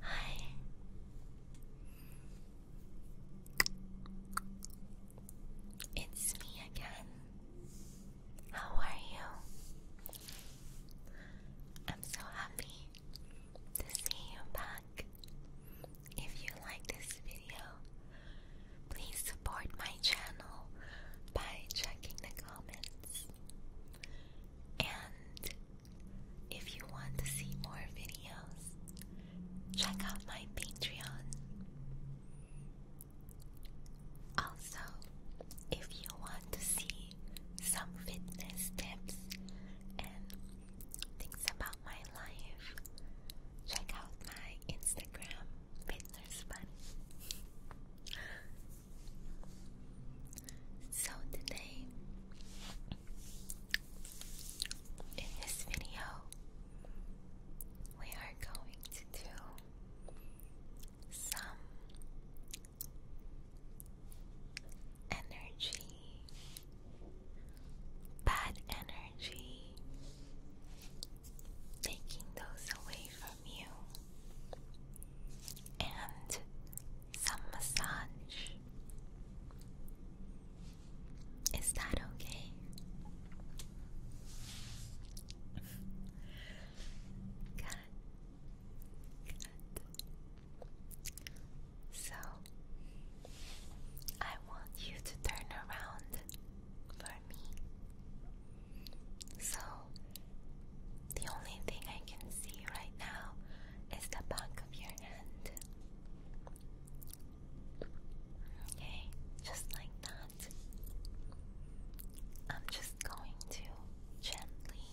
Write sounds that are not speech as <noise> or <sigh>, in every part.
Hi. It's me again. How are you? I'm so happy to see you back. If you like this video, Please support my channel by checking the comments. And if you want to see more videos, check out my Patreon. Also, if you want to see some fitness tips and things about my life, check out my Instagram, listeners funny. so today, in this video, we are going to do some energy, bad energy taking those away from you, and some massage. Is that okay? Good. Good. So, I want you to turn around for so, the only thing I can see right now is the back of your hand. Okay, just like that. I'm just going to gently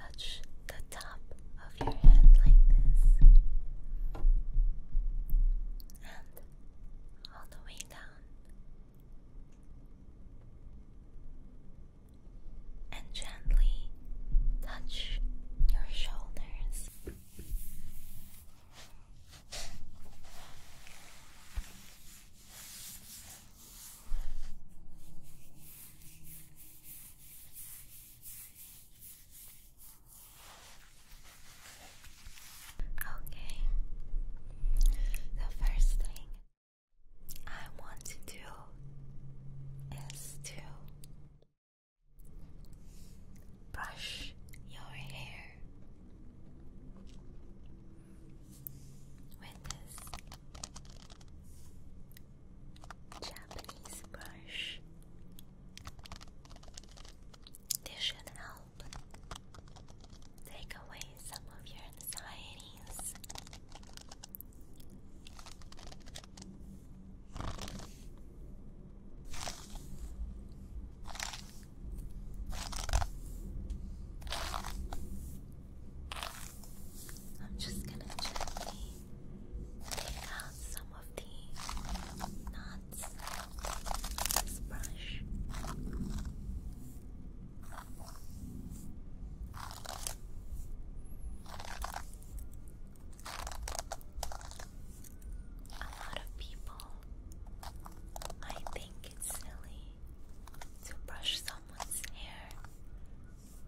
touch the top of your hand like this all the way down and gently touch your shoulders. Okay, the first thing I want to do is to brush your hair with this Japanese brush. This should help take away some of your anxieties. I'm just gonna gently take out some of the non a lot of people I think it's silly to brush someone's hair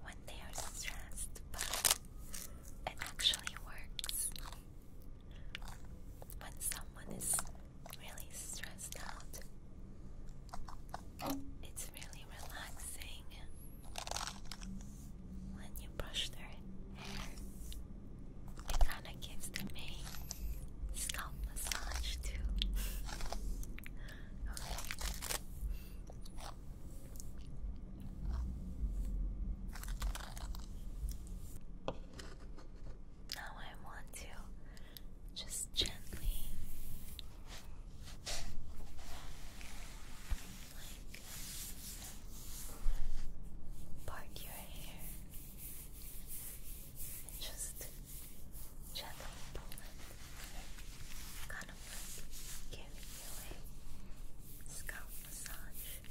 when they are stressed, but it actually works when someone is really stressed out, it's really relaxing when you brush their hair. It kind of gives them a scalp massage too. <laughs> okay. Now I want to just gently like part your hair and just gently pull it kind of like giving you a scalp massage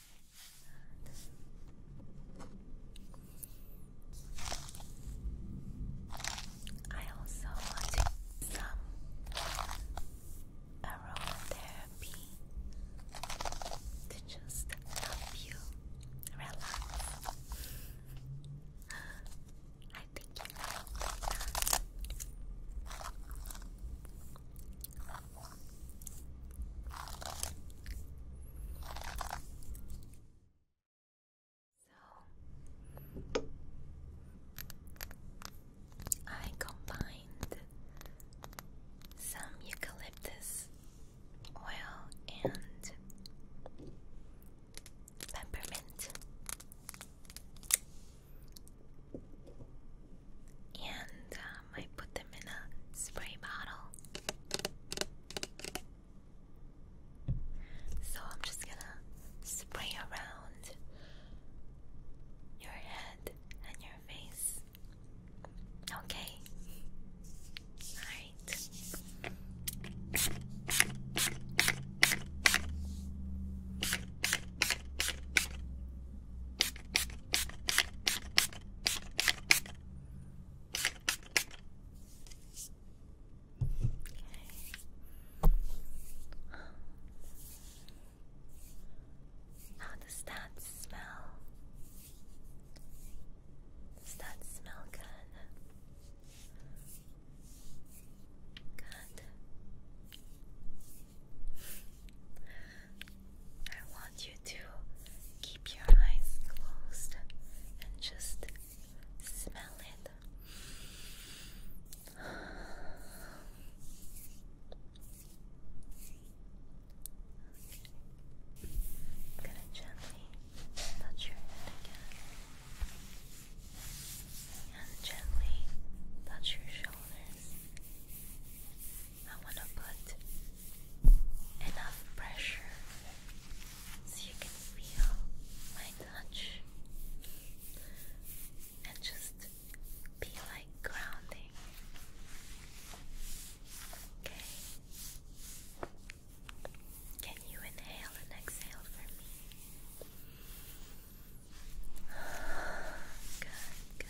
I also want some aromatherapy to just help you relax. I think you like that. So I combined some eucalyptus oil and peppermint and um, I put them in a spray bottle. So I'm just gonna spray around your head and your face. Okay. All right. How does that smell? Does that smell good? Good. I want you to keep your eyes closed and just smell it. I'm gonna gently touch your head again and gently touch your shoulders. I want to put enough pressure so you can feel my touch and just be like grounding. Okay. Can you inhale and exhale for me? <sighs> Good, good.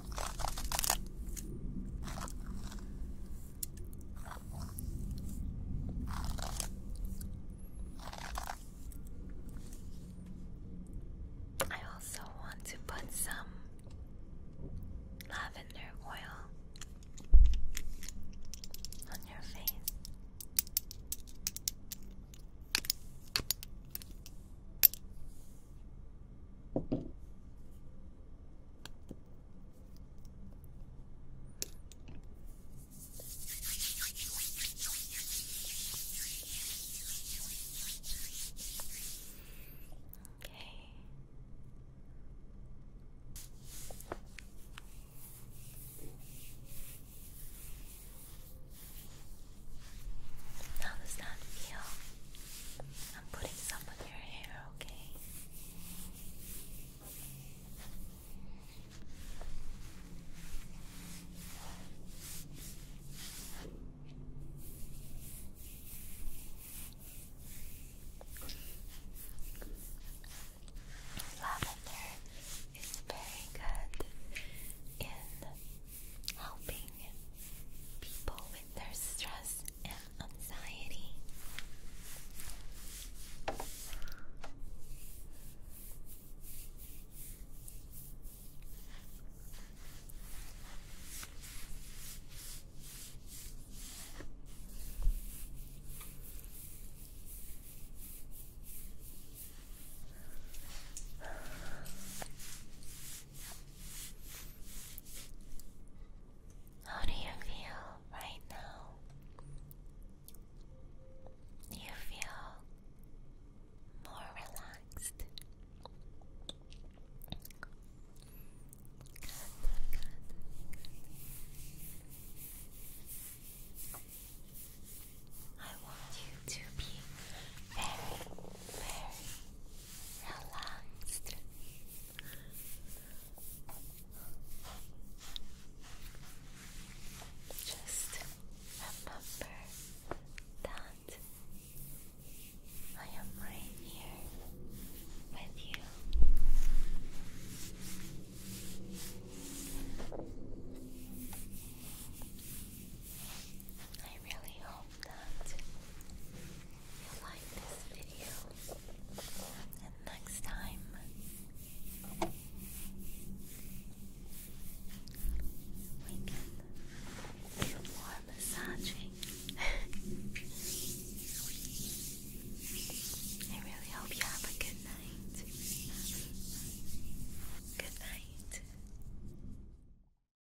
I also want to put some lavender oil on your face. Okay. How does that feel? I'm putting some on your hair, okay? Lavender is very good in helping people with their stress and anxiety. How do you feel right now? you feel more relaxed? I want you to be very, very, relaxed. Just remember that I am right here with you. I really hope that you like this video. And next time, we can do more massaging. <laughs> I really hope you have a good night. Good night.